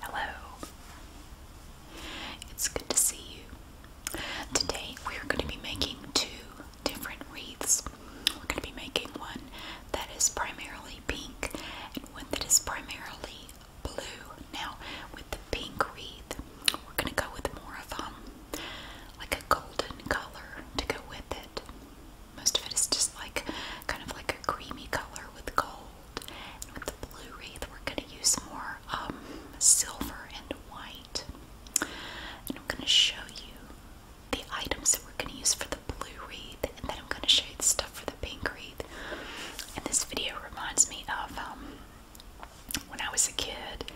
Hello. It's good to see you. Today we are going to be making two different wreaths. We're going to be making one that is primarily pink and one that is primarily blue. Now, with the pink wreath, we're going to go with more of um like a golden color to go with it. Most of it is just like kind of like a creamy color with gold with the blue wreath, we're going to use more um, silver and white. And I'm going to show you the items that we're going to use for the blue wreath, and then I'm going to show you the stuff for the pink wreath. And this video reminds me of um, when I was a kid,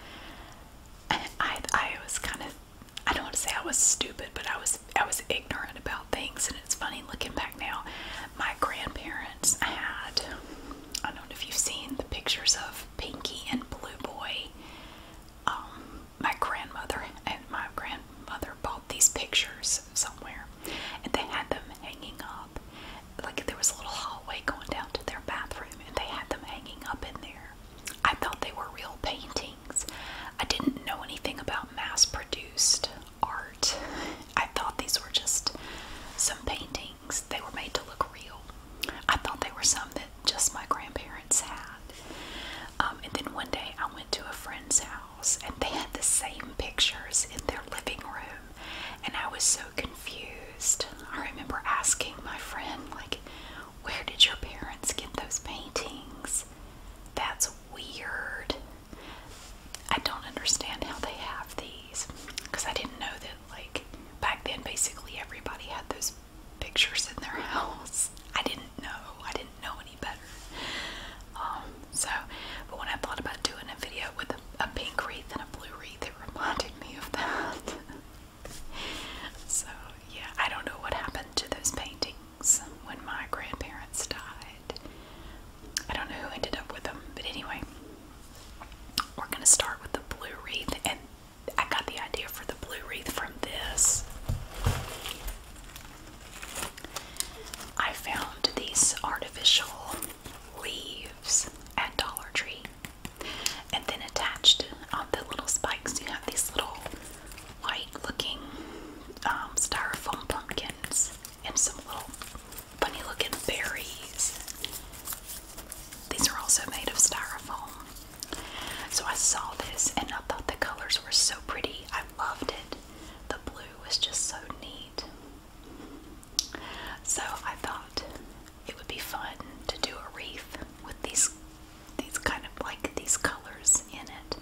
and I, I was kind of I don't want to say I was stupid, but I was I was ignorant about things, and it's funny looking back now my grandparents had, I don't know if you've seen the pictures of Pinky and Blue Boy. Um, my grandmother and my grandmother bought these pictures somewhere and they had them hanging up. Like there was a little hallway going down to their bathroom and they had them hanging up in there. I thought they were real paintings. I didn't know anything about mass produced art. I thought these were just some paintings. They were made to look real. I thought they were some that just my grandparents had. Um, and then one day I went to a friend's house and they had the same pictures in their living room. And I was so confused. I remember asking my friend, like, where did your parents get those paintings? That's weird. I don't understand how they have these because I didn't know that like back then basically everybody had those pictures in their house. I didn't know. I didn't know any better. Um, so, but when I thought about doing a video with a, a pink wreath and a blue wreath, it reminded me of that. so, yeah, I don't know what happened to those paintings when my grandparents died. I don't know who ended up with them, but anyway, we're going to start with the blue wreath, and I got the idea for the blue wreath from this. I found these artificial leaves at Dollar Tree, and then attached on the little spikes, you have these little white looking um, styrofoam pumpkins and some little funny looking berries. These are also made of styrofoam. So I saw this and I thought the colors were so pretty. I loved it. The blue was just so neat. So I thought it would be fun to do a wreath with these these kind of like these colors in it.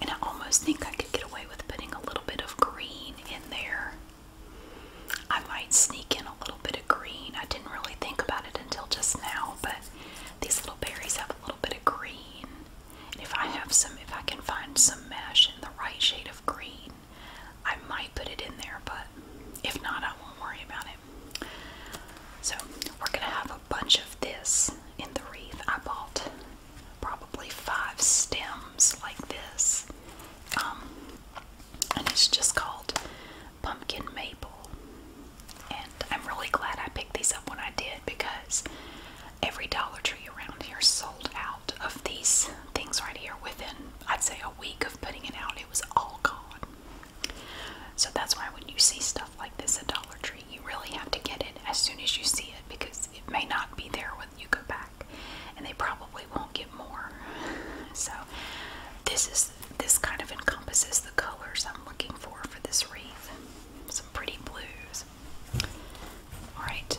And I almost think I could get away with putting a little bit of green in there. I might sneak in a little bit of green. I didn't really think about it until just now, but these little berries have a little bit of green. And if I have some, if I can find some mesh in the right shade of green, I might put it in there, but if not, I won't worry about it. So, we're going to have a bunch of this in the wreath. I bought probably five stems like this. Um, and it's just called Pumpkin Maple. And I'm really glad I picked these up when I did because every Dollar Tree around here sold out of these things right here within, I'd say, a week of putting it out. It was all gone. So that's why when you see stuff like this at Dollar Tree, you really have to get it as soon as you see it because it may not be there you go back and they probably won't get more so this is this kind of encompasses the colors I'm looking for for this wreath some pretty blues all right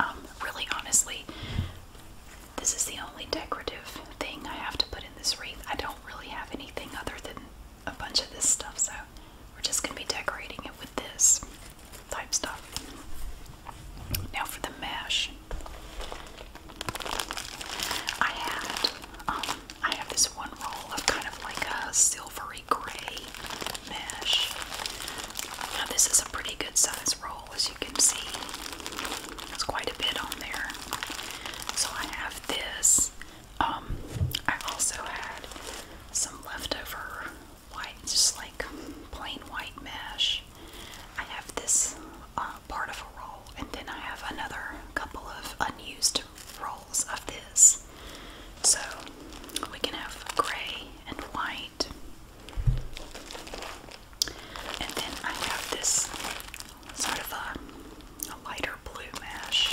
um, really honestly this is the only decorative thing I have to put in this wreath I don't really have anything other than a bunch of this stuff so we're just gonna be decorating it with this type stuff. Now for the mesh, I had um, I have this one roll of kind of like a silvery gray mesh. Now this is a pretty good size roll, as you can see. There's quite a bit on there. So I have this. Um, I also had some leftover white, just like plain white mesh. I have this uh, part of a roll, and then I have another couple of unused rolls of this. So we can have gray and white. And then I have this sort of a, a lighter blue mesh.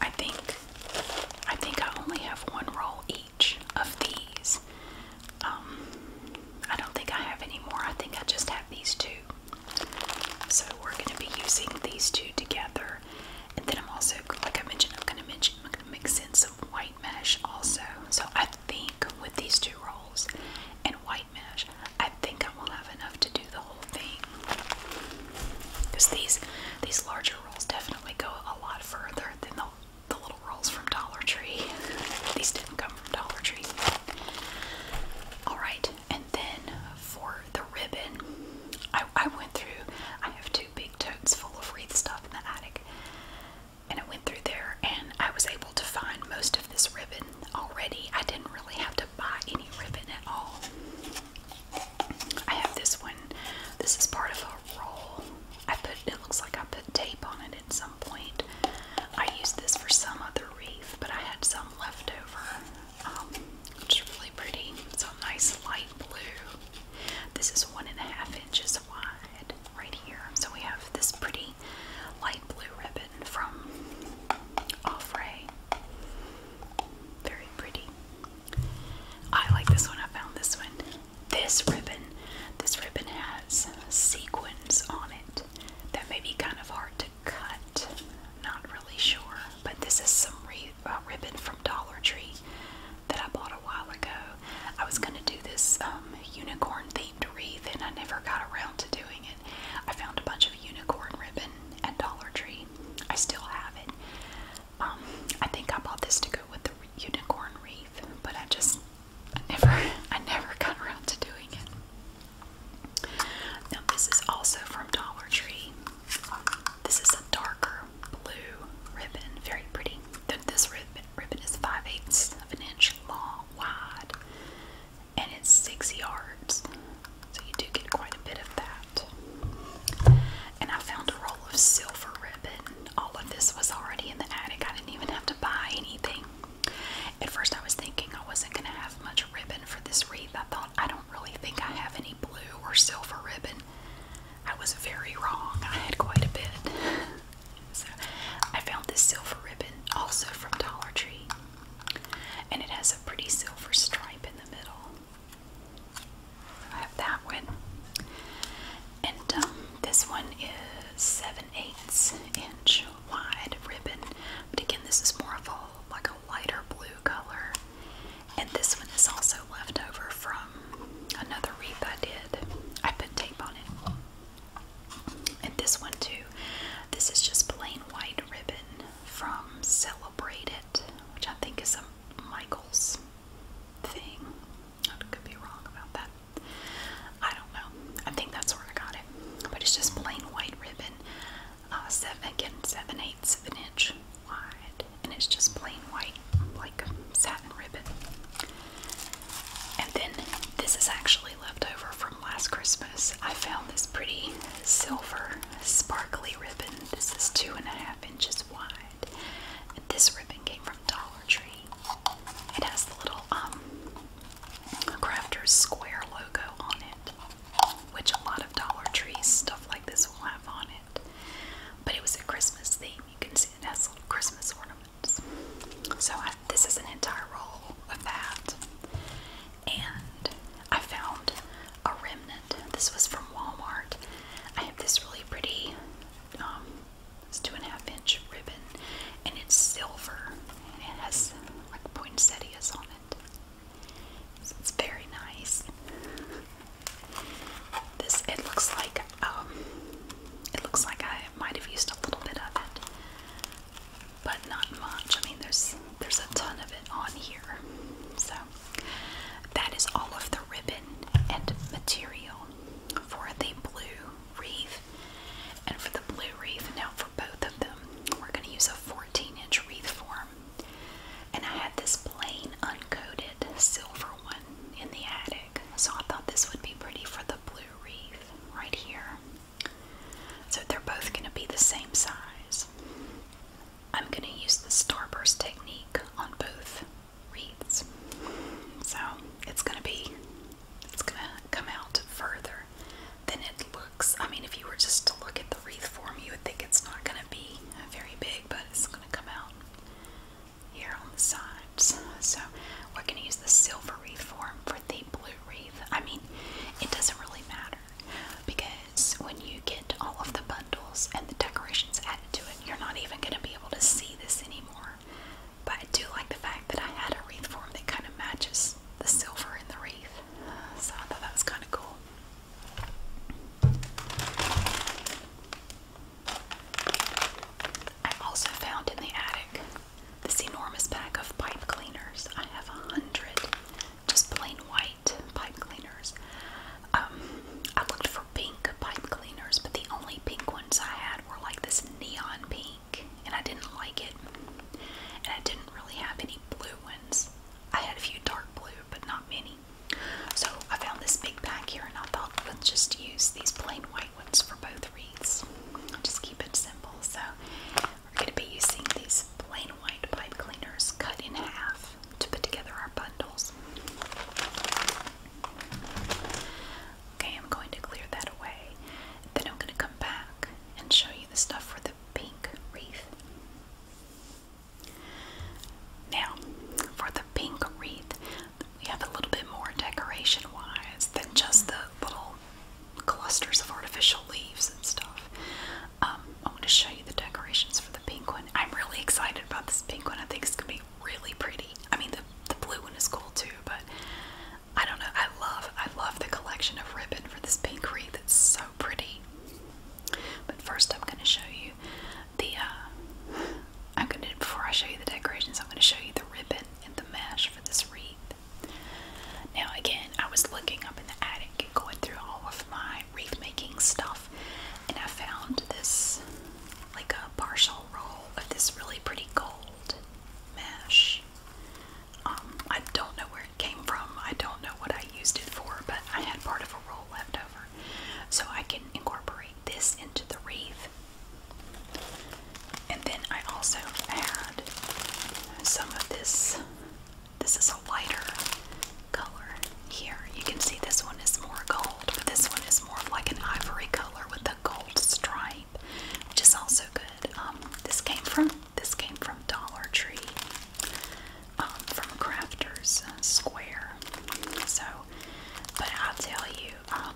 I think I think I only have one roll each of these. Um, I don't think I have any more. I think I just have these two. So we're going to be using these two together. And then I'm also, like I mentioned, I'm going to mention I'm going to mix in some white mesh also. So I think with these two rolls and white mesh, I think I will have enough to do the whole thing. Because these these larger rolls definitely go a lot further than the the little rolls from Dollar Tree. These didn't come from Dollar Tree. Alright, and then for the ribbon, I, I went through, I have two big totes full of wreath stuff in the attic. And I went through there and I was able to find most of this ribbon already. I didn't really have to buy any ribbon at all. I have this one. This is part of a roll I put it looks like I put tape on it at some point. I used this for some other wreath, but I had some left over, um, which is really pretty. It's a nice light blue. This is one and a half inches wide right here. So we have this pretty light blue ribbon from Offray. Very pretty. I like this one. I found this one. This ribbon. This ribbon has sequins on it that may be kind of hard to cut. Not really sure. But this is some uh, ribbon from Dollar Tree that I bought a while ago. I was going to do this um, unicorn themed wreath and I never got around to doing it. I found a bunch of unicorn ribbon at Dollar Tree. I still have it. Um, I think I bought this to go with the unicorn wreath, but I just I never I never got around to doing it. Now this is also from Dollar Tree. This is a darker blue ribbon, very pretty. This ribbon ribbon is five eighths of an inch long, wide, and it's six yards. So you do get quite a bit of that. And I found a roll of silver ribbon all of this was already in the attic. I didn't even have to buy anything. At first, I was thinking I wasn't going to have much ribbon for this wreath. I thought, I don't really think I have any blue or silver ribbon. I was very wrong. I had quite a bit. so, I found this silver ribbon also from Dollar Tree. And it has a pretty silver stripe in the middle. I have that one. And um, this one is 7 eighths inch wide ribbon. But again, this is more of a like a lighter blue color. And this one is also left over from another wreath I did. I put tape on it. And this one too. This is just plain white ribbon from Celebrated, which I think is a Michaels thing. I could be wrong about that. I don't know. I think that's where I got it. But it's just plain white ribbon. Uh, seven again, seven eighths of an inch wide, and it's just plain white, like satin ribbon. And then this is actually left over from last Christmas. I found this pretty silver, sparkly ribbon. This is two and a half inches wide. And this ribbon came from Dollar tree. It has the little um Crafter's Square logo on it, which a lot of Dollar Trees stuff like this will have on it. But it was a Christmas theme. You can see it has little Christmas ornaments. So I, this is an entire roll of that. And I found a remnant. This was from Walmart. I have this really pretty um, it's two and a half inch ribbon and it's silver and it has like poinsettias on it. So it's very nice. This it looks like um it looks like I might have used a little bit of it. But not much. I mean there's there's a ton of it on here. So that is all of the ribbon and material for the blue wreath and for the blue wreath. Now, for both of them, we're going to use a 14 inch wreath form. And I had this plain, uncoated silver one in the attic, so I thought this would be pretty for the blue wreath right here. So they're both going to be the same size. I'm going to use the starburst technique on both wreaths. So it's gonna be, it's gonna come out further than it looks. I mean, if you were just to look at the wreath form, you would think it's not gonna be very big, but it's gonna come out here on the sides. So we're gonna use the silver wreath form for the blue wreath. I mean, it doesn't really matter because when you get all of the bundles and the decorations added to it, you're not even gonna be able to see this anymore. But I do like the fact that I had a wreath form that kind of matches the silver in the wreath. So I thought that was kind of cool. I also found in the attic this enormous bag of pipe cleaners. I have a hundred just plain white pipe cleaners. Um, I looked for pink pipe cleaners, but the only pink ones I had were like this neon pink, and I didn't like it. And I didn't really have any blue ones. I had a few dark blue, but not many. So I found this big pack here, and I thought let's just use these plain white ones for both wreaths. just keep it simple. So we're going to be using these plain white pipe cleaners cut in half to put together our bundles. Okay, I'm going to clear that away. Then I'm going to come back and show you the stuff for the pink wreath. Now, for the pink wreath, we have a little bit more decoration wise than just the little clusters of artificial leaves and stuff. Um, I want to show you the decorations for the pink one. I'm really excited about this pink one. I think it's going to be really, pretty. I mean, the, the blue one is cool too, but I don't know. I love, I love the collection of ribbon for this pink wreath. It's so pretty. But first, I'm going to show you the. Uh, I'm going to before I show you the decorations, I'm going to show you the ribbon and the mesh for this wreath. Now, again, I was looking up in the attic and going through all of my wreath making stuff, and I found this like a partial roll of this really pretty gold mesh. Um, I don't know where it came from. I don't know what I used it for, but I had part of a roll left over. So I can incorporate this into the wreath. And then I also add some of this. This is a lighter color here. You can see this one is more gold, but this one is more of like an ivory color with a gold stripe, which is also good. Um, this came from this came from Dollar Tree, um, from Crafters Square. So, but I tell you, um,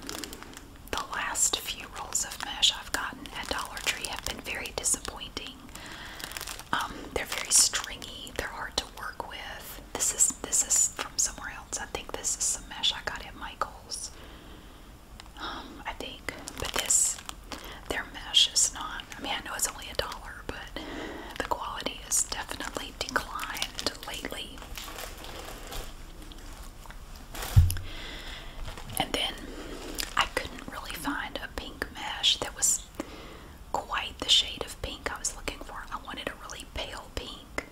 the last few rolls of mesh I've gotten at Dollar Tree have been very disappointing. they're very stringy. They're hard to work with. This is this is somewhere else. I think this is some mesh I got at Michael's. Um, I think, but this, their mesh is not. I mean, I know it's only a dollar, but the quality has definitely declined lately. And then I couldn't really find a pink mesh that was quite the shade of pink I was looking for. I wanted a really pale pink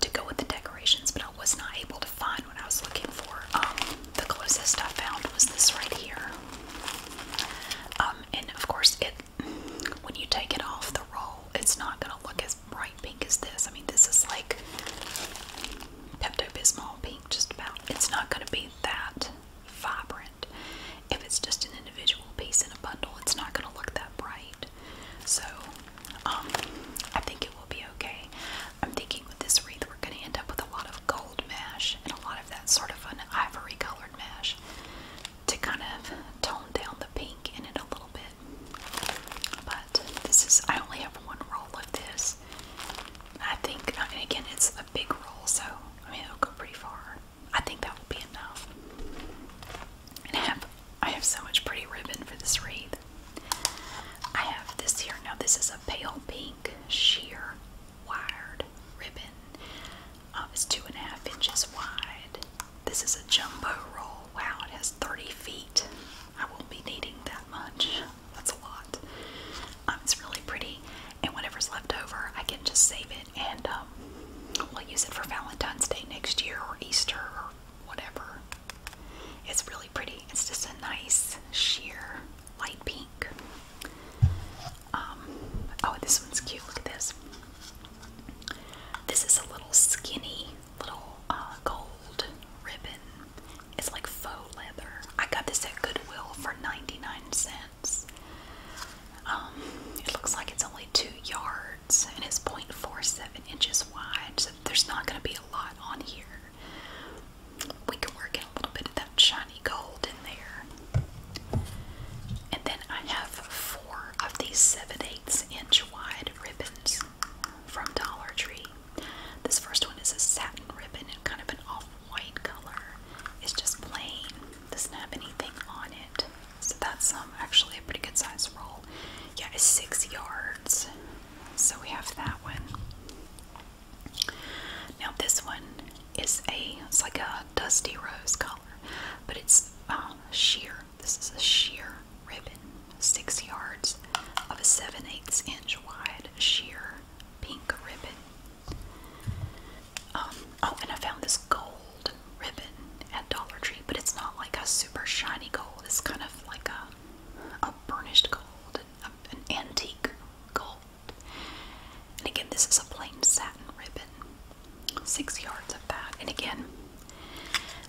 to go with the decorations, but I was not able to find what I was looking for. Um, the closest I found was this right here. Um, and of course, it when you take it off the roll, it's not going to look as bright pink as this. I mean, this is like Pepto Bismol pink, just about. It's not going to be that vibrant. If it's just an individual piece in a bundle, it's not going to look that bright. So, um, I think it will be okay. I'm thinking with this wreath, we're going to end up with a lot of gold mesh and a lot of that sort of an ivory colored mesh to kind of tone down the pink in it a little bit. But this is, I only have one roll of this. I think, I uh, mean, again, it's a big roll, so I mean, it'll go pretty far. I think that will be enough. I have I have so much pretty ribbon for this wreath. I have this here. Now this is a pale pink sheer wired ribbon. Um, it's two and a half inches wide. This is a jumbo roll. Wow, it has 30 feet. I won't be needing that much. That's a lot. Um, it's really pretty, and whatever's left over, I can just save it and um, we'll use it for Valentine's Day next year or Easter or whatever. It's really pretty. It's just a nice sheer light pink. Um, oh, this one's cute. Look at this. This is a little skinny little uh, gold ribbon. It's like faux leather. I got this at Goodwill for 99 cents. Um, it looks like it's only two yards and it's 0.47 inches wide, so there's not going to be a lot on here. We can work in a little bit of that shiny gold in there. And then I have four of these 7 8 inch wide ribbons from Dollar Tree. This first one is a satin ribbon in kind of an off white color. It's just plain, doesn't have anything on it. So that's um, actually a pretty good size roll. Yeah, it's six yards. So we have that one. Now this one is a, it's like a dusty rose color, but it's uh, sheer. This is a sheer ribbon, six yards of a 7 8 inch wide sheer pink ribbon. Um, oh, and I found this gold ribbon at Dollar Tree, but it's not like a super shiny gold. It's kind of like a, a burnished gold, an antique gold. And again, this is a plain satin ribbon. Six yards of that. And again,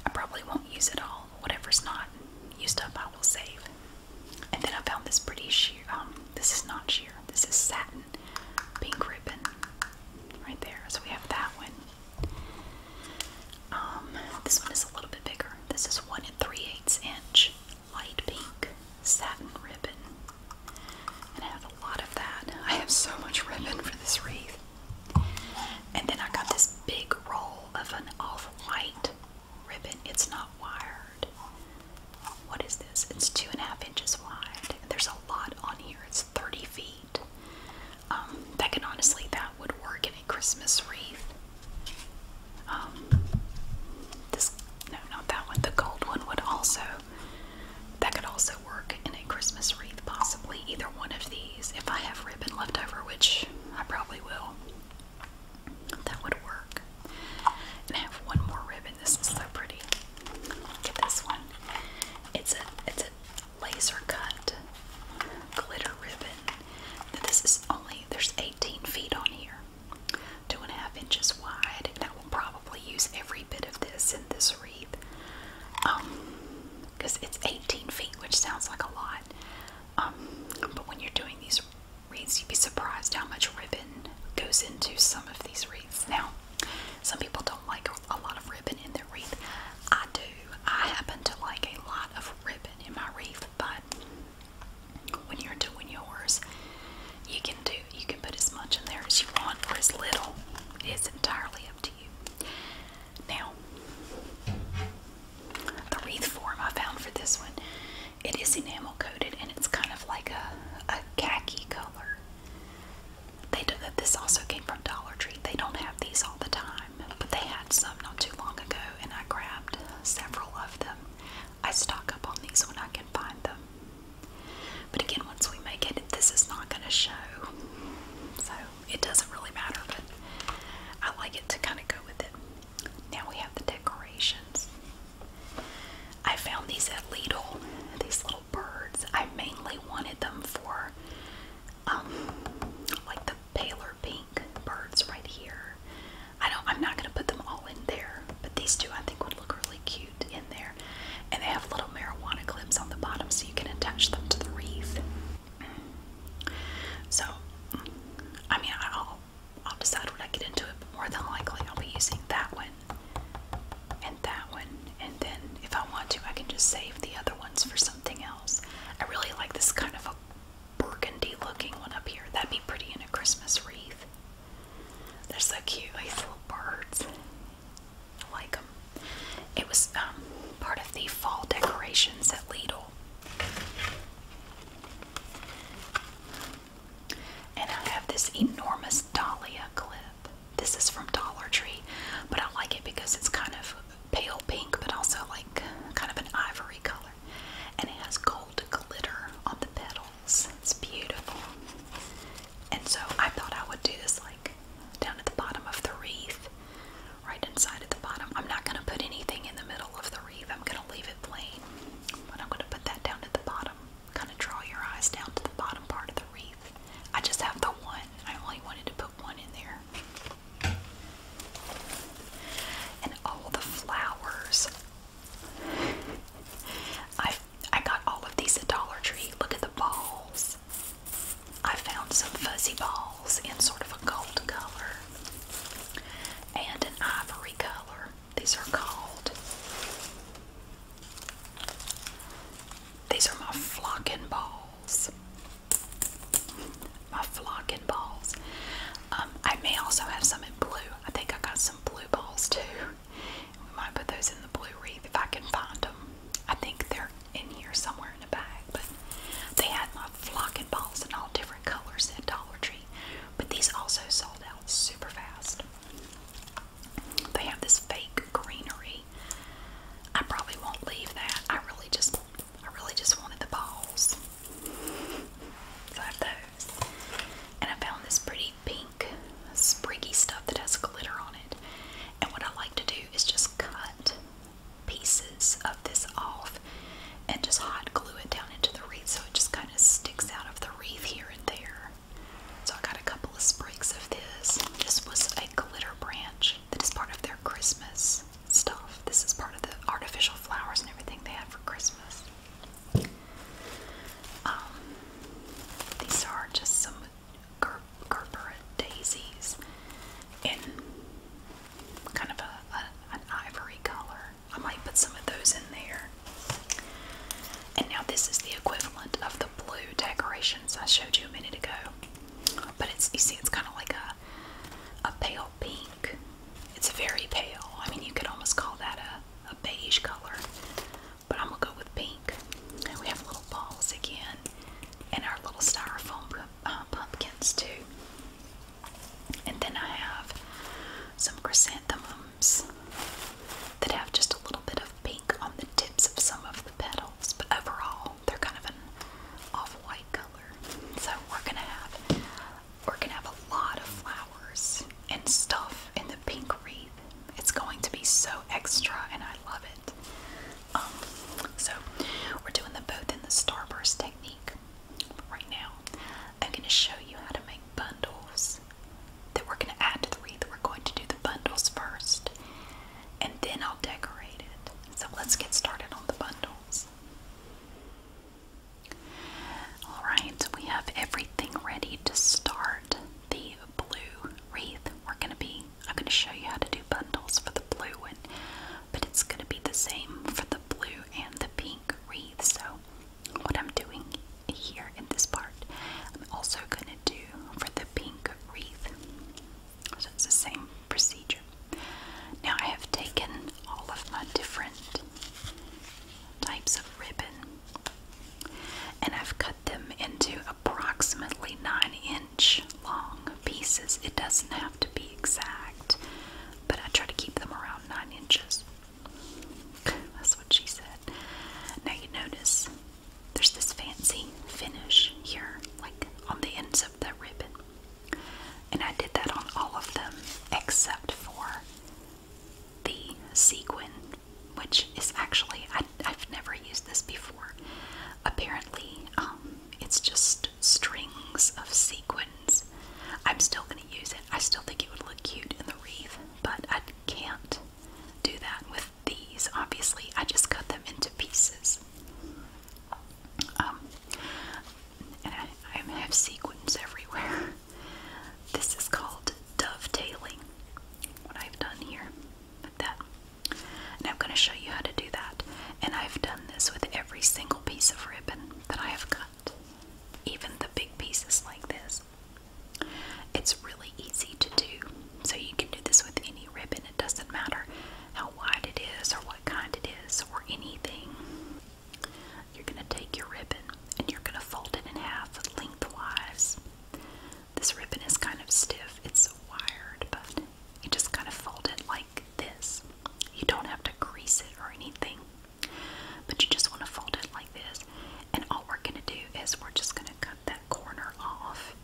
I probably won't use it all. Whatever's not used up, I will save. And then I found this pretty sheer. Um, this is not sheer. This is satin pink ribbon right there. So we have that one. Um, this one is a little bit bigger. This is one and three eighths inch light pink satin ribbon. And I have a lot of that. I have so much ribbon for this wreath. And then I got this big roll of an off-white ribbon. It's not wired. What is this? It's two and a half inches wide. There's a lot on here. It's 30 feet. Um, that could honestly, that would work in a Christmas wreath. Um, this, no, not that one. The gold one would also, that could also work in a Christmas wreath, possibly. Either one of these, if I have ribbon left over, which I probably will, that would work. And I have one more ribbon. This is so pretty. Get this one. It's a, it's a laser cut glitter ribbon. this is only there's 18 feet on here, two and a half inches wide, and I will probably use every bit of this in this wreath. because um, it's 18 feet, which sounds like a lot. Um, but when you're doing these wreaths, you'd be surprised how much ribbon goes into some of these wreaths. Now, some people don't like a lot of ribbon in wreath. I do. I happen to like a lot of ribbon in my wreath, but when you're doing yours, you can do you can put as much in there as you want or as little. It's entirely up to you. Now the wreath form I found for this one, it is enamel coated and it's kind of like a, a khaki color. They do that. This also came from Dollar Tree. They don't have these all the time but they had some not too long ago, and I grabbed several of them. I stock up on these when I can find them. But again, once we make it, this is not going to show, so it doesn't really matter, but I like it to kind of go with it. Now we have the decorations. I found these at Lidl, these little birds. I mainly wanted them for um, like the paler pink birds right here. I don't I'm not gonna put them all in there, but these two I think would look really cute in there. And they have little marijuana clips on the bottom so you can attach them to the wreath. So I mean I'll I'll decide when I get into it, more than likely I'll be using that one and that one. And then if I want to I can just save the other ones for something else. I really like this kind of a burgundy looking one up here. That'd be pretty in a Christmas wreath. They're so cute, these little birds. I like them. It was um, part of the fall decorations at Lidl. And I have this enormous Dahlia clip. This is from Dollar Tree, but I like it because it's kind of pale pink, but also like kind of an ivory color. And it has gold glitter on the petals. It's beautiful. And so I thought I would do this like down at the bottom of the wreath, right inside at the bottom. I'm not going to put anything in the middle of the wreath, I'm going to leave it plain. But I'm going to put that down at the bottom. Kind of draw your eyes down to the bottom part of the wreath. I just have the one. I only wanted to put one in there. And all the flowers. I I got all of these at Dollar Tree. Look at the balls. I found some fuzzy balls in sort of a gold color and an ivory color. These are called. These are my flocking balls my flocking balls. Um, I may also have some in blue. I think I got some blue balls too. We might put those in the blue wreath if I can find them. I think they're in here somewhere in the bag, but they had my flocking balls in all different colors at Dollar Tree. But these also sold out super fast. They have this fake greenery. I probably won't leave that. I really just I really just wanted the balls. So I have those. And I found this pretty pink spriggy stuff that has glitter on it. And what I like to do is just cut pieces of this off and just hot glue it down into the wreath so it just kind of sticks out of the wreath here and there. So I got a couple of sprigs of this. This was a glitter branch that is part of their Christmas stuff. This is part of the artificial flowers and everything they have for Christmas. Um, these are just some Gerbera daisies in kind of a, ivory color. I might put some of those in there. And now this is the equivalent of the blue decorations I showed you a minute ago. But it's you see it's kind of like a a pale pink. It's very pale. I mean, you could almost call that a, beige color, but I'm gonna go with pink. And we have little balls again, and our little styrofoam uh, pumpkins too. And then I have some chrysanthemums that have just a little bit of pink on the tips of some of the petals, but overall they're kind of an off-white color. So we're gonna have we're gonna have a lot of flowers and stuff in the pink wreath. It's going to be so extra and I love it. Um, so we're doing them both in the starburst technique right now. I'm gonna show you how to make bundles that we're gonna add to the wreath. We're going to do the bundles first and then I'll decorate it. So let's get started on the bundles. Alright, we have everything ready to start the blue wreath. We're going to be, I'm going to show you how to do bundles for the blue one, but it's going to be the same for the blue and the pink wreath. So, what I'm doing here in this part, I'm also going to do for the pink wreath. So it's the same procedure. Now I have taken all of my different types of ribbon and I've cut them into approximately 9 inch long pieces. It doesn't have to be exact, but I try to keep them around 9 inches. That's what she said. Now you notice there's this fancy finish here, like on the ends of of the ribbon. And I did that on all of them except for the sequin, which is actually, I, have never used this before. Apparently, um, it's just strings of sequins. I'm still going to use it. I still think it would look cute in the wreath, but I can't do that with these. Obviously, I just cut them into pieces. Um, I, have sequins everywhere. This is called dovetailing, what I've done here with that. And I'm going to show you how to do that. And I've done this with every single piece of ribbon that I have cut, even the big pieces like this. It's really easy to do, so you can do this with any ribbon, it doesn't matter how wide it is or what kind it is or anything. You're going to take your ribbon and you're going to fold it in half lengthwise. This ribbon is kind of stiff, it's wired, but you just kind of fold it like this. You don't have to crease it or anything, but you just want to fold it like this. And all we're going to do is we're just going to cut that corner off.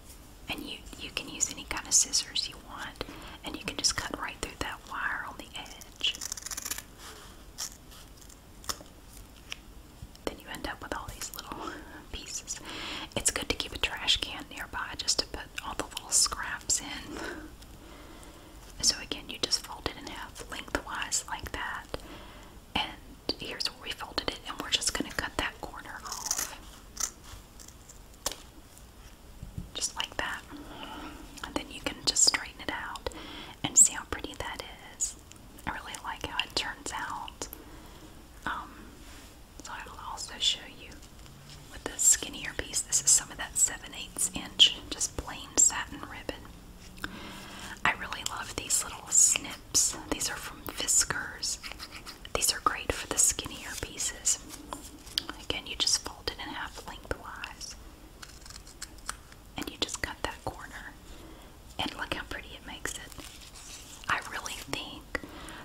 And you, you can use any kind of scissors you want, and you can just cut right through that wire on the edge. Then you end up with all these little pieces. It's good to keep a trash can nearby just to put all the little scraps in. So, again, you just fold it in half lengthwise like that. And here's where we folded it, and we're just going to cut that corner off. Just like that. And then you can just straighten it out and see how pretty that is. I really like how it turns out. Um, so I will also show you with the skinnier piece. This is some of that 7 eighths inch, just plain satin ribbon. I really love these little snips. These are from Fiskars. These are great for the skinnier pieces. Again, you just fold it in half lengthwise. And you just cut that corner. And look how pretty it makes it. I really think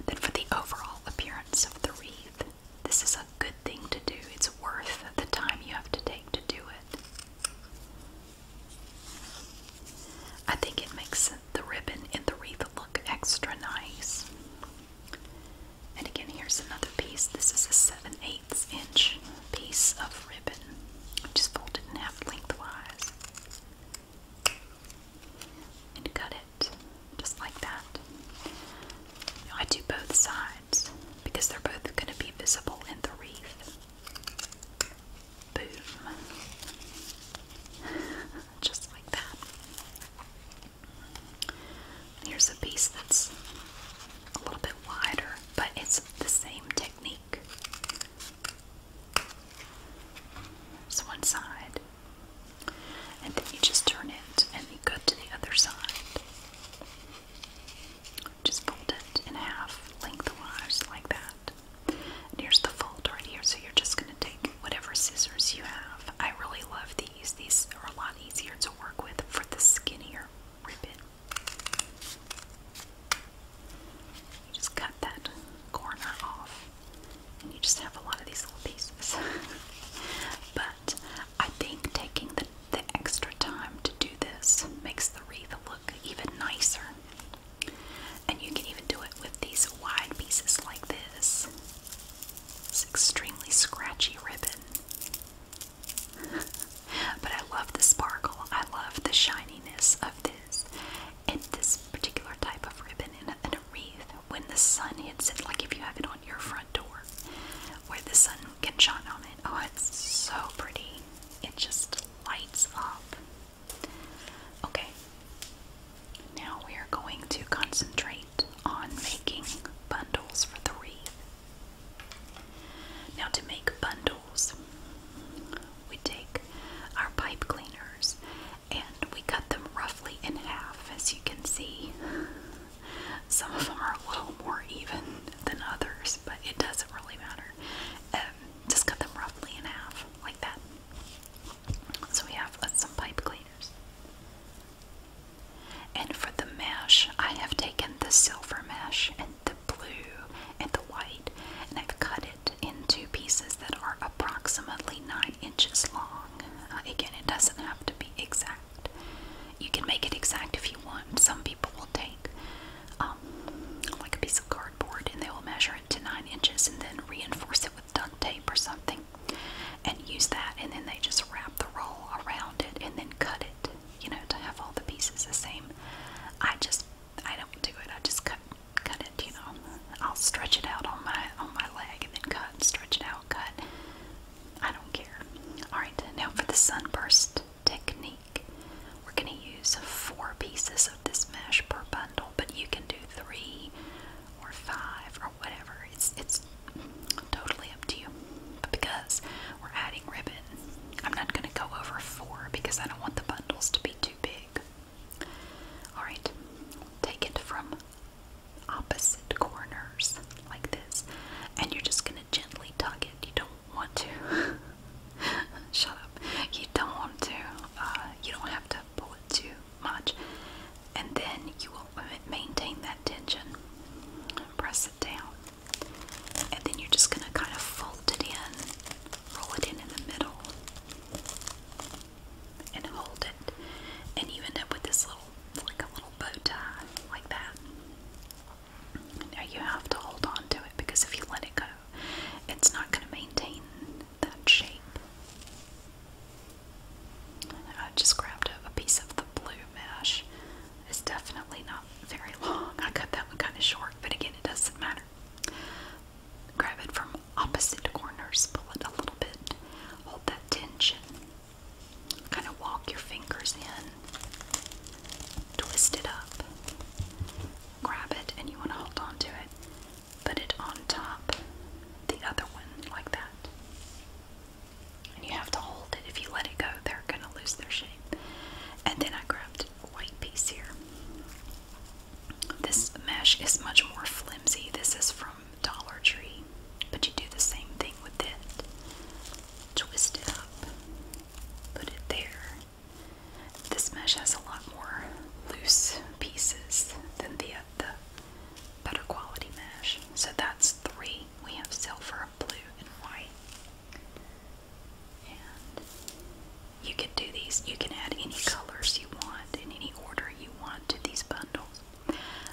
that for the overall appearance of the wreath, this is a good thing to do. It's worth the time you have to take to do it. I think it makes the ribbon and the wreath look extra nice. And again, here's another piece. This is a 7 8 inch piece of ribbon, which is folded in half lengthwise. And cut it just like that. I do both sides because they're both going to be visible in the wreath. Boom. just like that. Here's a piece that's a little bit wider, but it's the same technique. It's one side, and then you just turn it and you go to the other side. Just fold it in half lengthwise, like that. And here's the fold right here, so you're just going to take whatever scissors you have. I really love these, these are a lot easier to work with for the skinnier ribbon. just cut that corner off, and you just have a lot of these little pieces. but I think taking the extra time to do this makes the wreath look even nicer. And you can even do it with these wide pieces like this. It's extremely scratchy ribbon. but I love the sparkle. I love the shininess of this and this particular type of ribbon in a, wreath when the sun hits it, like if you have it on your front door where the sun can shine on it. Oh, it's so pretty. It just lights up. Okay, now we are going to concentrate on making bundles for three. Now, to make bundles, we take our pipe cleaners and we cut them roughly in half, as you can see. Some of them are a little more even than others, but it doesn't really matter. Um, just cut them roughly in half, like that. So we have uh, some pipe cleaners. And for the mesh, I have taken the silver mesh and the blue and the white, and I've cut it into pieces that are approximately 9 inches long. Uh, again, it doesn't have to be exact. You can make it exact if you want. Some people will take um, like a piece of cardboard and they will measure it to 9 inches and then reinforce it with duct tape or something and use that and then they just wrap the roll around it and then cut it you know to have all the pieces the same i just i don't do it i just cut cut it you know i'll stretch it out on my on my leg and then cut stretch it out cut i don't care all right now for the sunburst technique we're going to use four pieces of this mesh per bundle but you can do three or five whatever. It's it's totally up to you. But because we're adding ribbon, I'm not gonna go over four because I don't want the bundles to be too big. Alright, take it from opposite corners like this, and you're just gonna gently tug it. You don't want to shut up. You don't want to, uh, you don't have to pull it too much. And then you maintain that tension. Press it down. And then you're just going to kind of fold it in, roll it in in the middle, and hold it. And you end up with this little, like a little bow tie, like that. Now you have to hold on to it because if you let it go, it's not going to maintain that shape. I just grabbed a piece of the blue mesh it's definitely not very long. I cut that one kind of short, but again, it doesn't matter. Grab it from opposite corners, pull it a little bit, hold that tension. Kind of walk your fingers in, twist it up, grab it, and you want to hold on it. Put it on top, the other one, like that and you have to hold it. If you let it go, they're going to lose their shape. And then I grabbed a white piece here. This mesh is much more flimsy. This is from Dollar Tree, but you do the same thing with it. Twist it up, put it there. This mesh has a lot more loose pieces than the the better quality mesh. So that's three we have silver, blue, and white. you can do these, you can add any colors you want in any order you want to these bundles.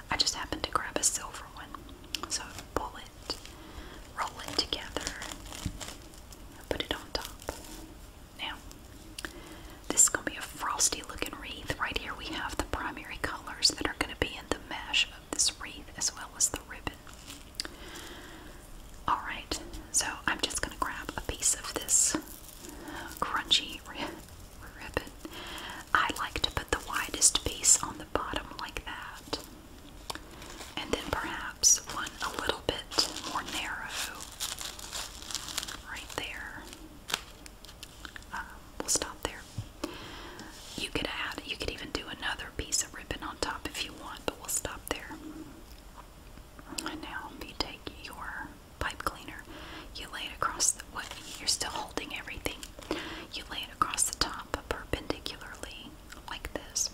I just happened to grab a silver one. So pull it, roll it together, put it on top. Now, this is going to be a frosty looking wreath. Right here we have the primary colors that are going to be in the mesh this wreath as well as the ribbon. Alright, so I'm just going to grab a piece of this crunchy ribbon. I like to put the widest piece on the bottom like that. And then perhaps one a little bit more narrow right there. Uh, we'll stop there. You could add, you could even do another piece of ribbon on top if you want, but we'll stop there. now you take your pipe cleaner, you lay it across the, what, you're still holding everything. You lay it across the top perpendicularly, like this.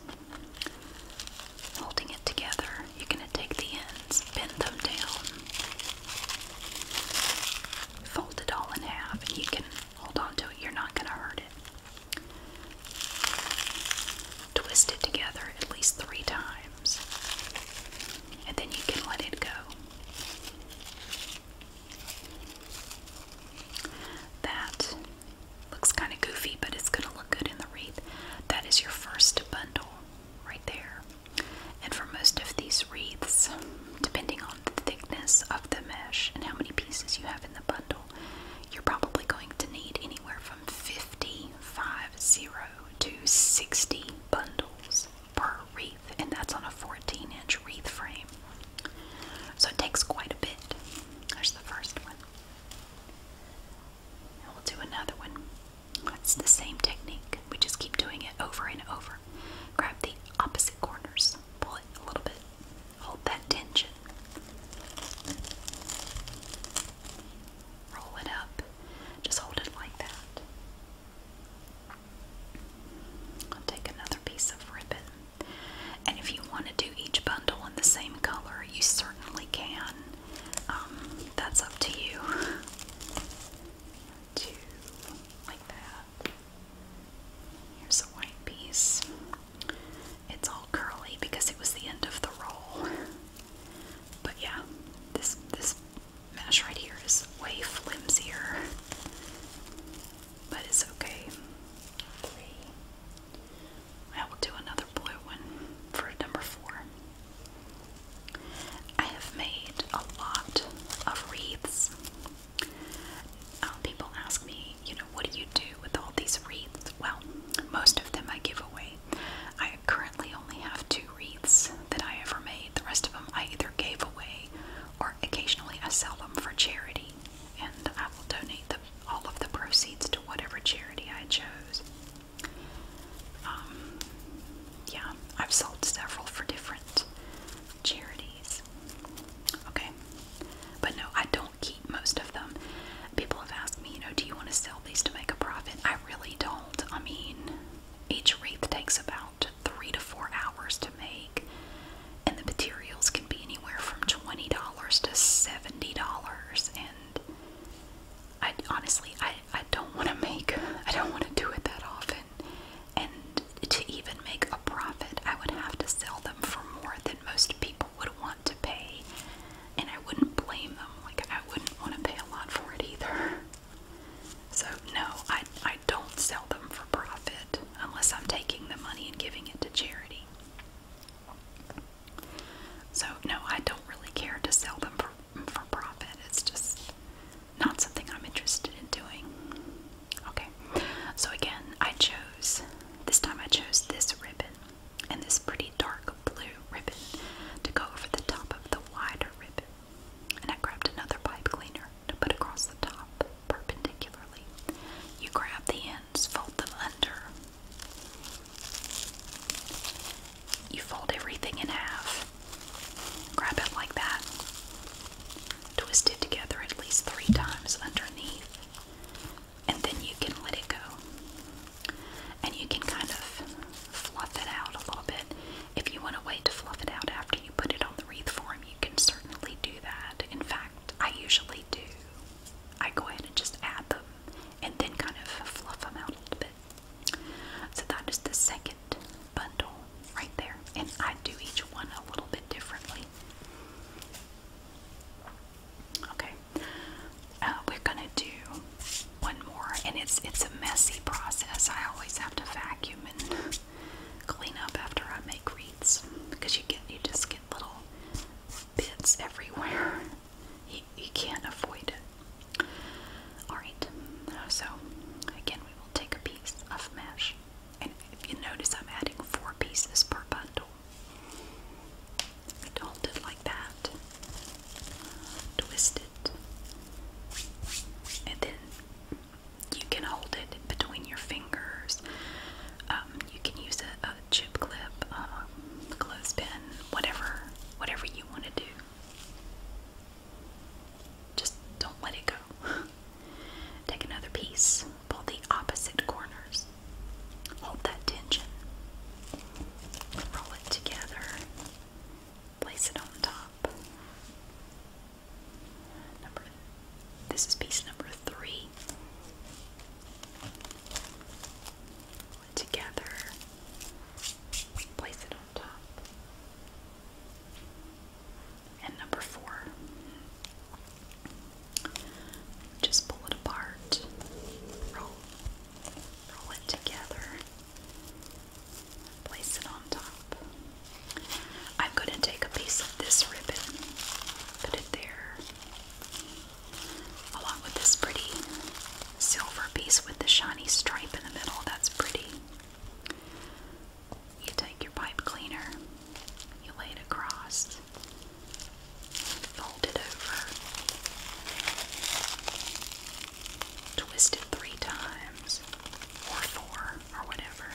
Holding it together, you're going to take the ends, bend them down, fold it all in half, and you can Hold on to it. You're not going to hurt it. Twist it together at least three times. And then you can let it go. That looks kind of goofy, but it's going to look good in the wreath. That is your first bundle right there. And for most of these wreaths, depending on the thickness of the mesh and how many pieces you have in the bundle, you're probably going to need anywhere from 50, to 60 bundles per wreath, and that's on a 14 inch wreath frame. So it takes quite a bit. There's the first one. And we'll do another one. It's the same technique. We just keep doing it over and over. Grab the opposite corners pull it a little bit. Hold that tension. Roll it up. Just hold it like that. I'll take another piece of ribbon. And if you want to do each bundle in the same color, you certainly can. Um, that's up to you. like that. Here's a white piece. It's all curly because it was the end of the roll. But yeah, this this mesh right here is way flimsier. But it's okay. I will do another blue one for number four. I have made a lot of wreaths um, people ask me, you know, what do you do with all these wreaths? Well, most of them I give away. I currently only have two wreaths that I ever made. The rest of them I either gave away or occasionally I sell them for charity, and I will donate the, all of the proceeds to whatever charity I chose. Um, yeah, I've sold several for different charities. Okay. But no, I don't keep most of them. People have asked me, you know, do you want to sell these to make a profit? I really don't. I mean, each wreath takes about three to four hours to make, and the materials can be anywhere from $20 to $70. And I honestly, I, I don't want to make, I don't want to do it that often. And to even make a profit, I would have to sell them for more than most people would want to pay. And I wouldn't blame them. Like, I wouldn't want to pay a lot for it either. So, no, I, I don't sell them for profit unless I'm taking the money and giving it to charity. So, no, I don't really care to sell them for, for profit. It's just not something I'm interested in doing. Okay, so again, I chose, this time I chose this ribbon and this pretty dark blue ribbon to go over the top of the wider ribbon. And I grabbed another pipe cleaner to put across the top perpendicularly. You grab the ends, fold them under. You fold everything in half. Grab it like that twisted together at least three times underneath, and then you can let it go. And you can kind of fluff it out a little bit. If you want to wait to fluff it out after you put it on the wreath form, you can certainly do that. In fact, I usually do. I go ahead and just add them and then kind of fluff them out a little bit. So that is the second bundle right there. And I do each one a little bit differently. Okay, uh, we're gonna do one more, and it's it's a messy process. I always have to vacuum and clean up after I make wreaths because you get you just get little bits everywhere. You, you can't avoid it. All right, so again, we will take a piece of mesh. And if you notice, I'm adding four pieces per bundle. Hold it like that, twist it, and then you can hold it between your fingers. Um, you can use a, chip clip, um, clothespin, whatever, whatever you want to do. Just don't let it go. Take another piece, pull the opposite corners. Hold that tension. Roll it together. Place it on top. Number this is piece number three. together. Place it on top. And number four, just pull it apart, roll, it together, place it on top. I'm going to take a piece of this ribbon, put it there, along with this pretty silver piece with the shiny stripe in the middle. That's pretty. You take your pipe cleaner, you lay it across, Fold it over. Twist it three times or four or whatever.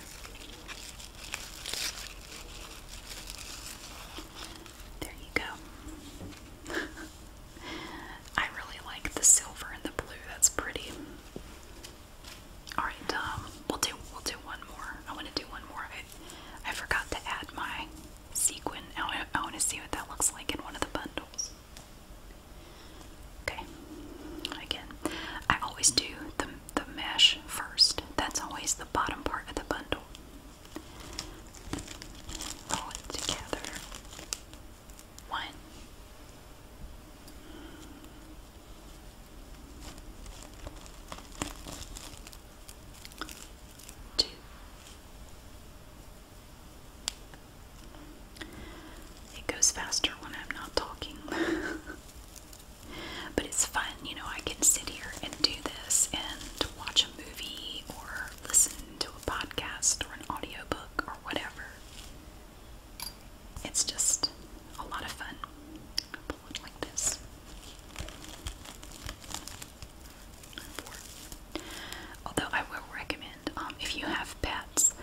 There you go. I really like the silver and the blue. That's pretty. All right, um, we'll do we'll do one more. I want to do one more. I forgot to add my sequin. I, I want to see what that looks like in one of the bundles. Okay, again, I always do the, the mesh first. That's always the bottom part of the bundle. Roll it together. One, Two. It goes faster when I'm not talking. but it's fun, you know, I can sit here and do this and watch a movie or listen to a podcast or an audiobook or whatever. It's just a lot of fun. I'll look like this. Four. Although I will recommend, um, if you have pets,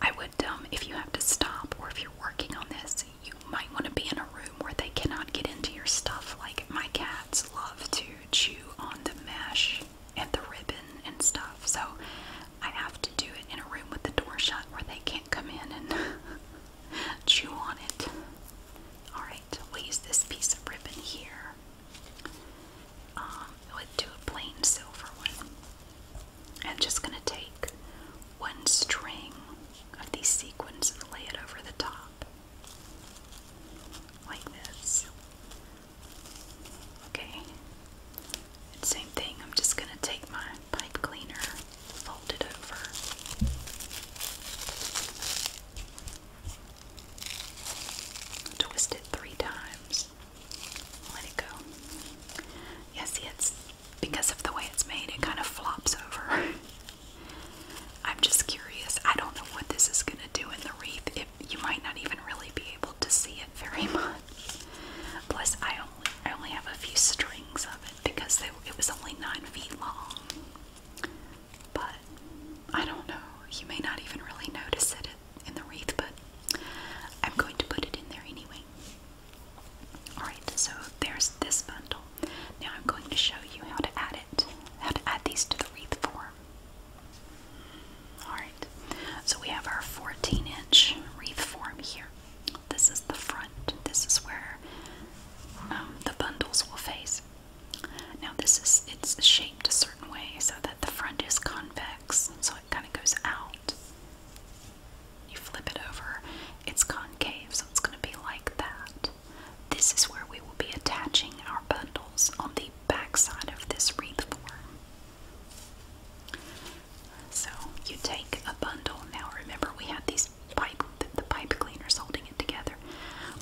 I would, um, if you have to stop or if you're working on this, you might want to be in a room where they cannot get into your stuff. Like my cats love to chew on the mesh and the ribbon and stuff, so I have to do it in a room with the door shut where they can't come in and Chew on it. Alright, we use this piece of ribbon here. Um, we'll do a plain silver one. I'm just going to take one string of these sequins and lay it over the top. Like this. Okay. same thing, I'm just going to take my pipe cleaner fold it over. Twist it three times. Let it go. Yeah, it's because of the way it's made, it kind of flops over. I'm just curious. I don't know what this is going to do in the wreath. It, you might not even really be able to see it very much. Plus, I only, I only have a few strings of it because it was only nine feet long. But I don't know. You may not even really notice it in the wreath, but I'm going to put it in there anyway. Alright, so there's this bundle. Now I'm going to show you how to add it, how to add these to the wreath form. Alright, so we have our 14 inch wreath form here. This is the front. This is where um, the bundles will face. Now this is it's shaped a certain way so that the front is convex, so it kind of goes out. You flip it over, it's concave, so it's going to be like that. This is where we will be attaching our bundles on the back side of this wreath form. So you take a bundle. Now remember we had these pipe the pipe cleaners holding it together.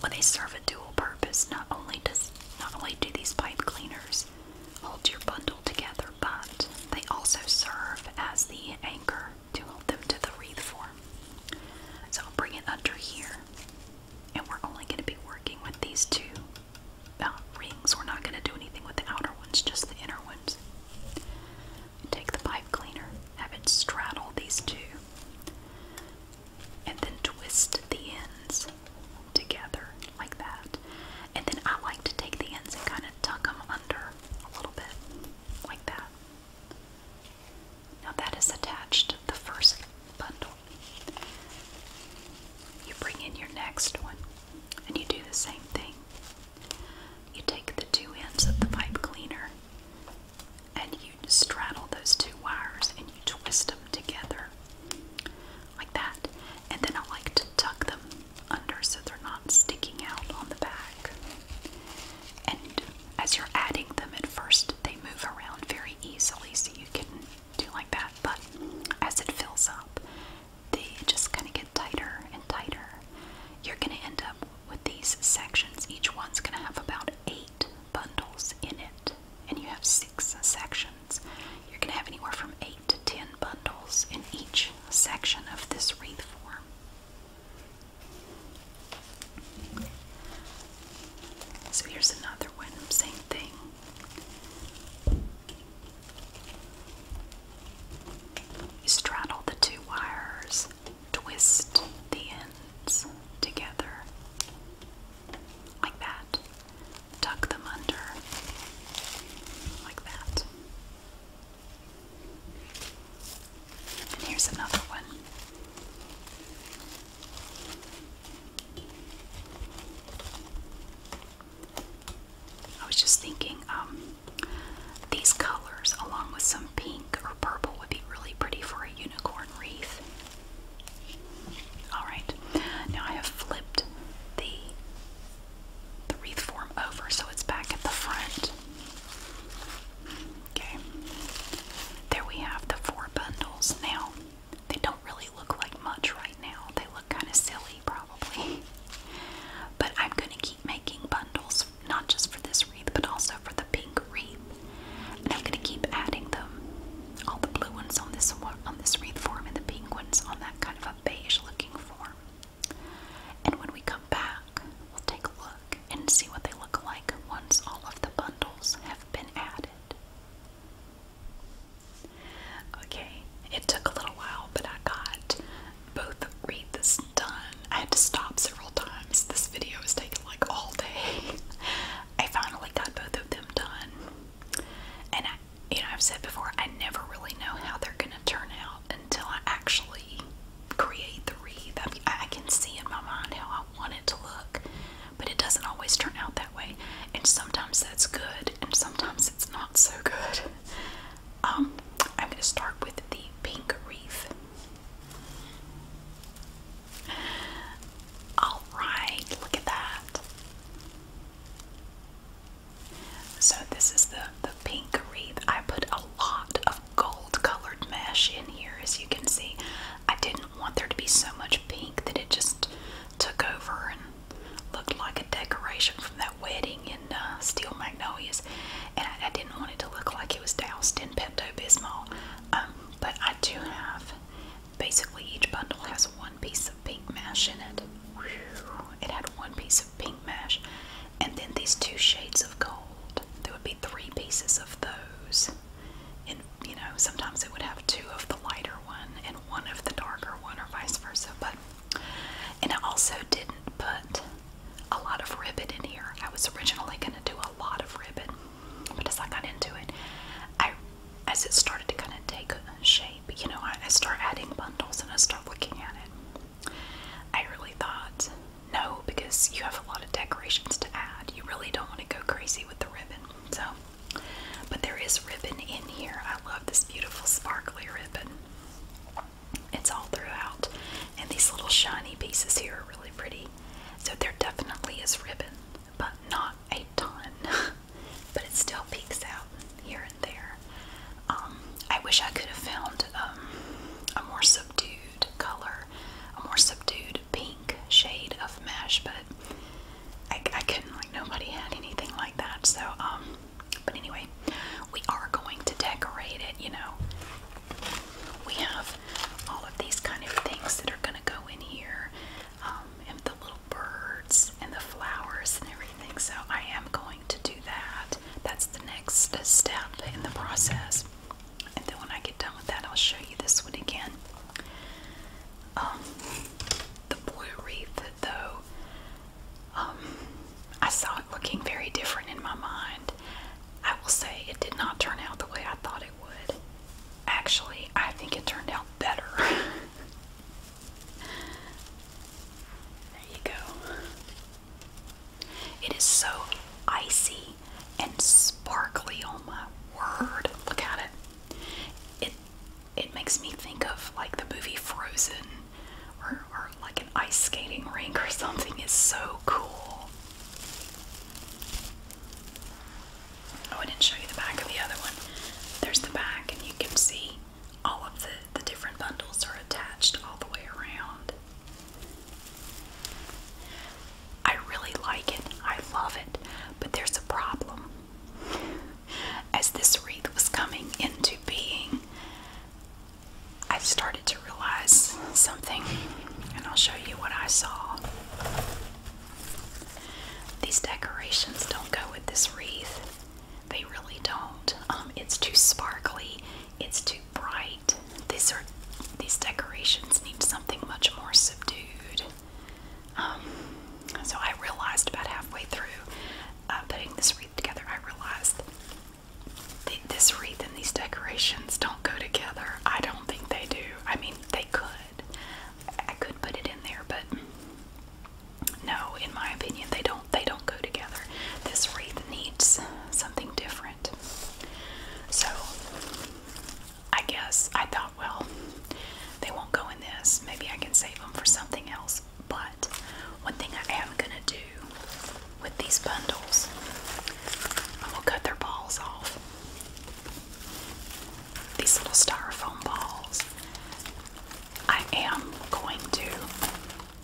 Well, they serve a dual purpose. Not only does not only do these pipe cleaners hold your bundle together, but they also serve as the anchor to hold them to the wreath form. So I'll bring it under here, and we're only going to be working with these two uh, rings. We're not going to do anything with the outer ones, just the inner ones take the pipe cleaner, have it straddle these two, and then twist the ends together like that. And then I like to take the ends and kind of tuck them under a little bit like that. Now that is attached to the first bundle. You bring in your next one and you do the same thing. You take the two ends of the pipe cleaner and you straddle those two wires and you twist them together like that. And then I like to tuck them under so they're not sticking out on the back. And as you're adding them at first, they move around very easily, so you can do like that. But as it fills up, they just kind of get tighter and tighter. You're going to end up with these sections, each one's going to have about eight bundles in it, and you have six sections. You're going to have anywhere from eight to ten bundles in each section of this wreath form. So here's another one, same thing. straddle the two wires twist the ends together like that. Tuck them under like that. And here's another one. I was just thinking, um, these colors, along with some pink purple would be really pretty for a unicorn wreath. Alright, now I have flipped the, the wreath form over so it's back at the front. Okay, there we have the four bundles. Now, they don't really look like much right now. They look kind of silly, probably. But I'm going to keep making bundles not just for this wreath, but also for the pink wreath. And I'm gonna keep adding them. All the blue ones on this on this wreath form, and the pink ones on that kind of a beige-looking form. And when we come back, we'll take a look and see what they look like once all of the bundles have been added. Okay, it took a little while, but I got both wreaths done I had to stop several times. This video has taking like all day. I finally got both of them done. And I, you know, I've said before, I never really know how they're going to turn out until I actually create the wreath. I, can see in my mind how I want it to look, but it doesn't always turn out that way. And sometimes that's good, and sometimes it's not so good. Um, I'm going to start with the pink wreath. All right, look at that. So this is the the pink wreath. I put a lot of gold colored mesh in here as you can see. I didn't want there to be so much pink that it just took over and looked like a decoration from that wedding in uh, Steel Magnolias and I, didn't want it to look like it was doused in Pepto Bismol. Um, but I do have basically each bundle has one piece of pink mesh in it. It had one piece of pink mesh, and then these two shades of gold. There would be three pieces of those, and you know, sometimes it would have two of the lighter one and one of the darker one, or vice versa. But and I also didn't put a lot of ribbon in here. I was originally going to do a lot of ribbon, but as I got into it, I as it started to kind of take shape, you know, I, I start adding bundles and I start looking at it. I really thought, no, because you have a lot of decorations to add. You really don't want to go crazy with the ribbon. So, but there is ribbon in here. I love this beautiful sparkly ribbon. It's all throughout, and these little shiny pieces here are really pretty. So there definitely is ribbon, but not a ton. but it still peeks out here and there. Um, I wish I could have found um, a more subdued color, a more subdued pink shade of mesh, but I, couldn't, like, nobody had anything like that. So, um, but anyway, we are going to decorate it, you know. We have all of these kind of things that are going to go in here, um, and the little birds and the flowers and everything. So I am going to do that. That's the next step in the process. And then when I get done with that, I'll show you this one again. Um, the blue wreath, though, um, I saw it looking very different in my mind. I will say it did not turn out the way I thought it would. Actually, I think it turned out better. there you go. It is so icy and sparkly on my word. Look at it. It it makes me think of like the movie Frozen or, or like an ice skating rink or something. It's so cool. Oh, I didn't show you the back of the other one. There's the back, and you can see all of the, the different bundles are attached all the way around. I really like it. I love it. But there's a problem. As this wreath was coming into being, I started to to realize something, and I'll show you what I saw. These decorations don't go with this wreath, they really don't. Um, it's too sparkly, it's too bright. These are these decorations need something much more subdued. Um, so I realized about halfway through uh, putting this wreath together, I realized this wreath and these decorations don't go together. I don't think they do. I mean, they could. I could put it in there, but no, in my opinion, they don't. They don't go together. This wreath needs something different. So, I guess I thought, well, they won't go in this. Maybe I can save them for something else. But one thing I am gonna do with these bundles, I'm gonna cut their balls off these little styrofoam balls. I am going to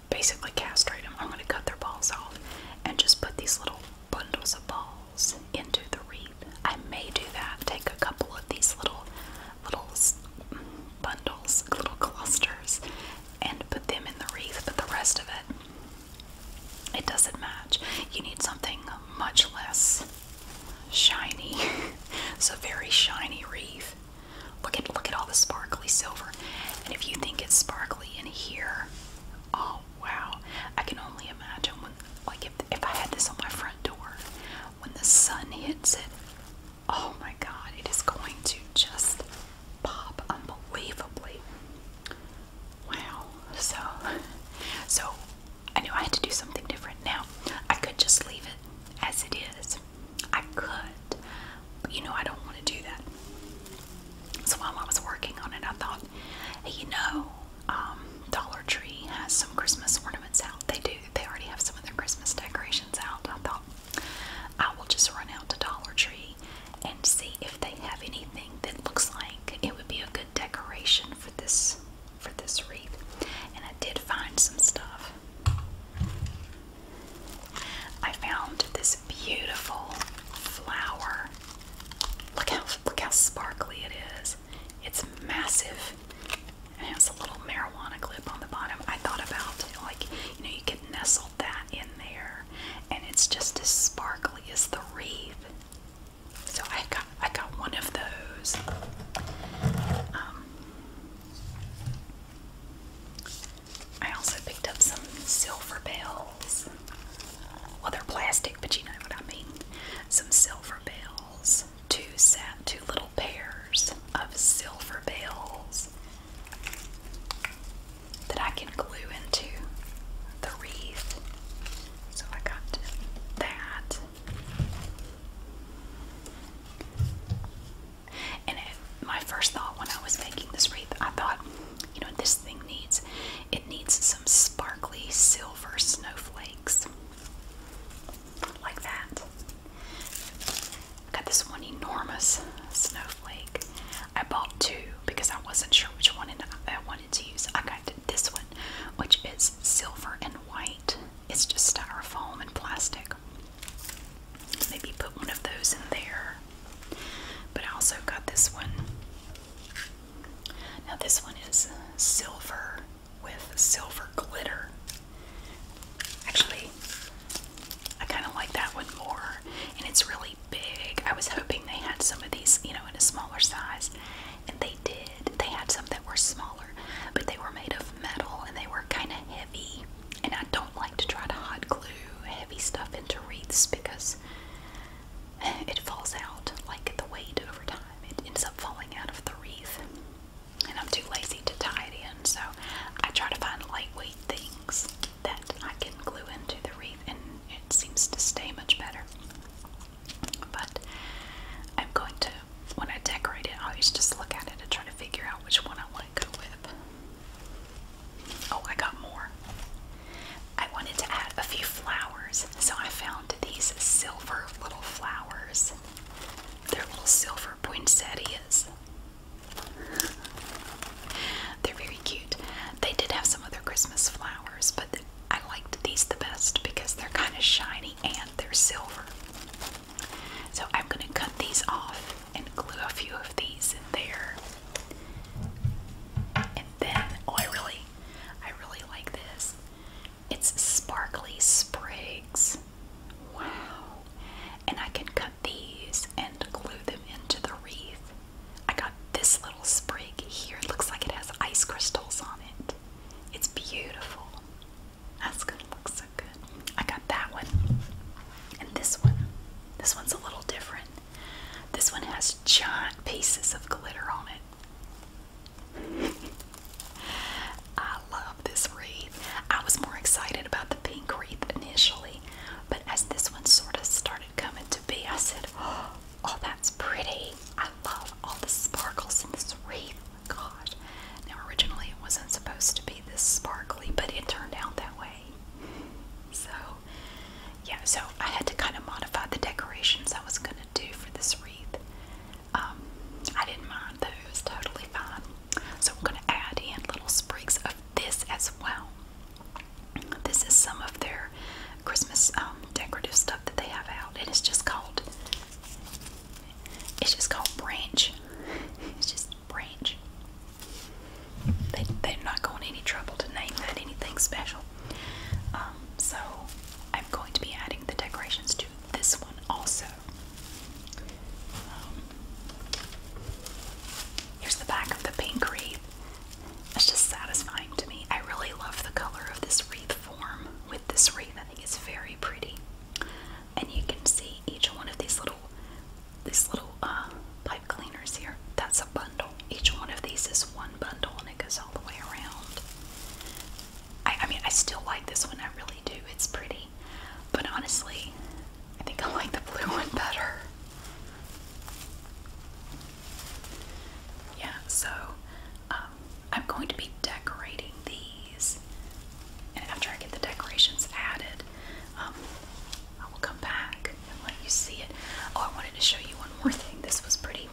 basically castrate them. I'm going to cut their balls off and just put these little bundles of balls into the wreath. I may do that. Take a couple of these little little bundles, little clusters, and put them in the wreath. But the rest of it, it doesn't match. You need something much less shiny. it's a very shiny wreath. Look at look at all the sparkly silver. And if you think it's sparkly in here, oh wow. I can only imagine when like if if I had this on my front door, when the sun hits it, oh my god, it is going to just pop unbelievably. Wow. So, so I knew I had to do something different. Now, I could just leave it as it is. I could, but you know, I don't want to do that. So while I was working on it, I thought, hey, you know, um, Dollar Tree has some Christmas ornaments out. They do. They already have some of their Christmas decorations out. I thought I will just run out to Dollar Tree and see if they have anything that looks like it would be a good decoration for this for this wreath. And I did find some stuff. I found this beautiful flower. Look how look how sparkly it is. It's massive. and has a little marijuana clip on the bottom. I thought about like you know you could nestle that in there, and it's just as sparkly as the wreath. So I got I got one of those. Um, I also picked up some silver bells. Well, they're plastic, but you know what I mean. Some silver bells. Two set, two little pairs of silver bells that I can glue into the wreath. So I got that. And my first thought when I was making this wreath, I thought, you know, this thing needs it needs some sparkly silver snowflakes like that. Got this one enormous snowflake I bought two because I wasn't sure which one I wanted to use. I got this one, which is silver and white. It's just styrofoam and plastic. Maybe put one of those in there. But I also got this one. Now, this one is silver with silver glitter. Actually, I kind of like that one more, and it's really really big. I was hoping they had some of these, you know, in a smaller size, and they did. They had some that were smaller, but they were made of metal and they were kind of heavy. And I don't like to try to hot glue heavy stuff into wreaths because it falls out like the weight over time. It ends up falling out of the wreath, and I'm too lazy to tie it in, so I try to find lightweight things that I can glue into the wreath, and it seems to stay much better. But I'm going to, when I decorate it, I always just look at it and try to figure out which one I want to go with. Oh, I got more. I wanted to add a few flowers, so I found these silver little flowers. They're little silver poinsettias. They're very cute. They did have some other Christmas flowers, but I liked these the best because they're kind of shiny and they're silver. So I'm going to cut these off and glue a few of these in there. And then, oh, I really, I really like this. It's sparkly sprigs. Wow. And I can cut these and glue them into the wreath. I got this little sprig here. It looks like it has ice crystals on it. It's beautiful. That's gonna look so good. I got that one. And this one. This one's a little different. This one has giant pieces of glitter on it. I love this wreath. I was more excited about the pink wreath initially, but as this one sort of started coming to be, I said, oh, Oh, that's pretty. I love all the sparkles in this wreath. God. Now, originally it wasn't supposed to be this sparkly, but it turned out that way. So, yeah, so I had to kind of modify the decorations I was going to do for this wreath. Um, I didn't mind though; it was totally fine. So, I'm going to add in little sprigs of this as well. This is some of their Christmas um, decorative stuff that they have out, and it's just called it's just called Branch. It's just Branch. They they're not going any trouble to name that anything special. Um, so I'm going to be adding the decorations to this one also. Um, here's the back of the pink wreath. It's just satisfying to me. I really love the color of this wreath form with this wreath. I think it's very pretty. And you can see each one of these little these little uh, pipe cleaners here. That's a bundle. Each one of these is one bundle and it goes all the way around. I, I mean, I still like this one. I really do. It's pretty. But honestly, I think I like the blue one better. Yeah, so um, I'm going to be decorating these, and after I get the decorations added, um, I will come back and let you see it. Oh, I wanted to show you one more thing. This was pretty.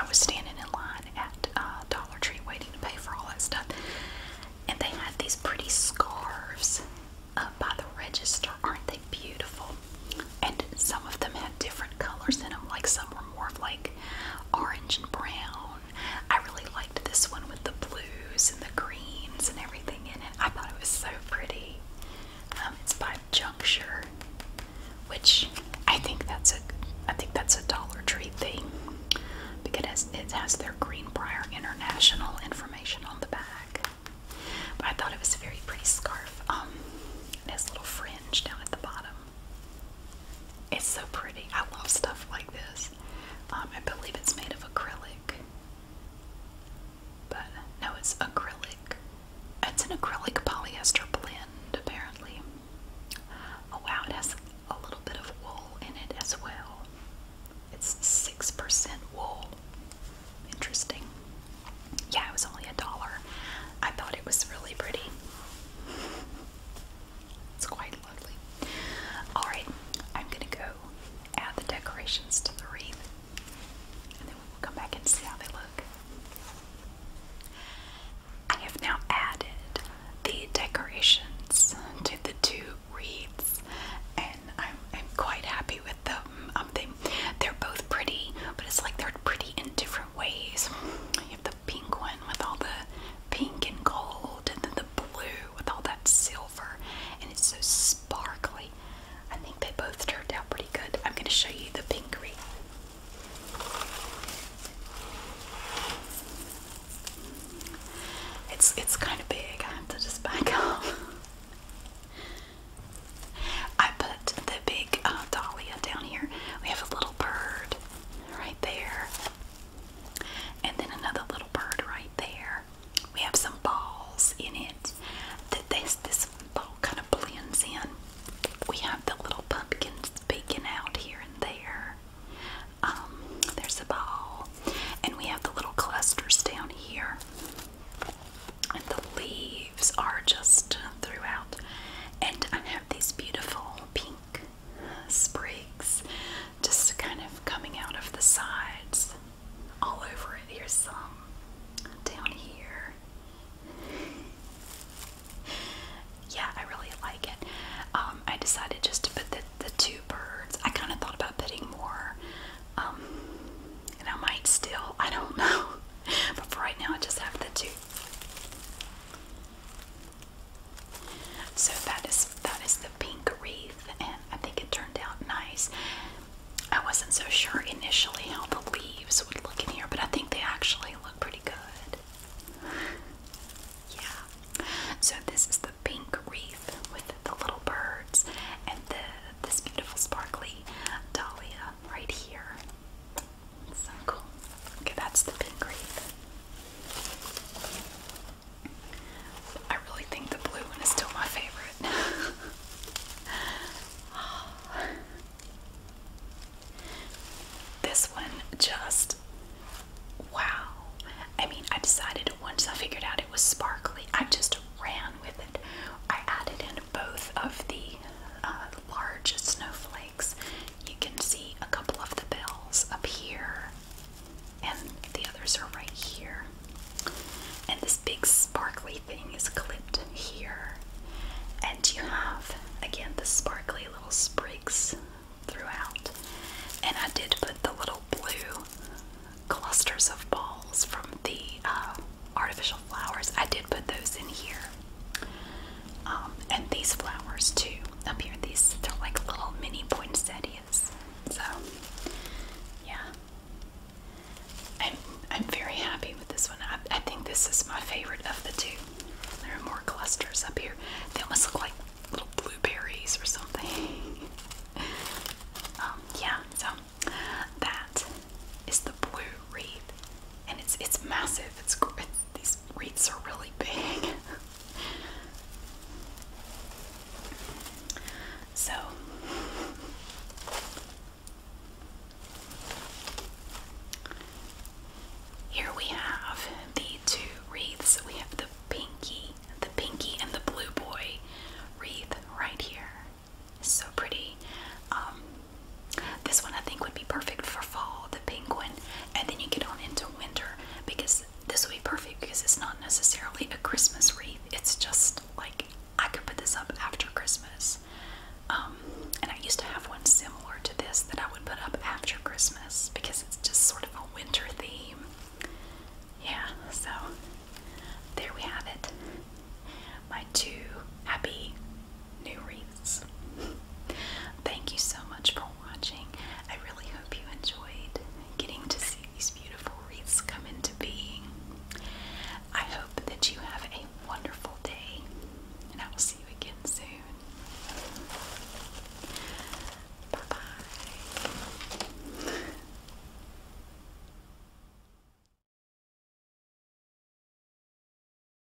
I was standing in line at uh, Dollar Tree waiting to pay for all that stuff, and they had these pretty scarves up by the register. Aren't they beautiful? and some of them had different colors in them. Like some were more of like orange and brown. I really liked this one with the blues and the greens and everything in it. I thought it was so pretty. Um, it's by Juncture, which I think that's a I think that's a Dollar Tree thing because it has their Greenbrier International information on the back. But I thought it was a very pretty scarf. Um, it little frills down at the bottom. It's so pretty. I love stuff like this. Um, I believe it's made of acrylic. But no, it's acrylic. It's an acrylic polyester blend, apparently. Oh wow, it has a little bit of wool in it as well. It's 6% wool. Interesting yeah, it was only a dollar. I thought it was really pretty. It's quite lovely. Alright, I'm gonna go add the decorations to the wreath and then we will come back and see how they look. I have now added the decorations to the two wreaths and I'm, quite happy with them. Um, they, they're both pretty, but it's like they're pretty in ways. You have the pink one with all the pink and gold, and then the blue with all that silver, and it's so sparkly. I think they both turned out pretty good. I'm going to show you the pink wreath. It's it's kind of big. I have to just back up. I put the big uh, down here. We have a little bird right there, and then another little bird right there. We have some balls in it. That this ball kind of blends in. We have the little pumpkins peeking out here and there. Um, there's a ball, and we have the little clusters down here. And the leaves are just throughout. And I these beautiful pink uh, sprigs just kind of coming out of the sides all over it. Here's some down here. Yeah, I really like it. Um, I decided just to put the, two birds. I kind of thought about putting more, and um, I might still, I don't know. But for right now, I just have the two so that is that is the pink wreath, and I think it turned out nice. I wasn't so sure initially how the leaves would look in here, but I think they actually look pretty good. Yeah. So this is the pink wreath with the little birds and the this beautiful sparkly dahlia right here so cool. Okay, that's the pink wreath. I really think the blue one is still my favorite. oh. This one just wow. I mean, I decided once I figured out it was sparkly, I just ran with it. I added in both of the uh, large snowflakes you can see a couple of the bells up here, and the others are right here. And this big sparkly thing is clipped here. And you have, again, the sparkly little sprigs throughout. And I did put the little blue clusters of balls from the uh, artificial flowers, I did put those in here. Um, and these flowers too. Up here, these they're like little mini poinsettias. So yeah. I'm, I'm very happy with this one. I, I think this is my favorite of the two. There are more clusters up here. They almost look like little blueberries or something. Um, yeah, so that is the blue wreath, and it's it's massive. it's these wreaths are really big. so here we have the two wreaths. We have the pinky, the pinky and the blue boy wreath right here. So pretty. Um, this one I think would be perfect for fall, the penguin, and then you get on into winter because this would be perfect because it's not necessarily a Christmas wreath. It's just like I could put this up after Christmas. Um, and I used to have one similar to this that I would put up after Christmas because it's just sort of a winter theme. Yeah, so there we have it. My two happy new wreaths. Thank you so much for watching. I really hope you enjoyed getting to see these beautiful wreaths come into being. I hope that you have a wonderful day, and I will see you again soon. Bye bye.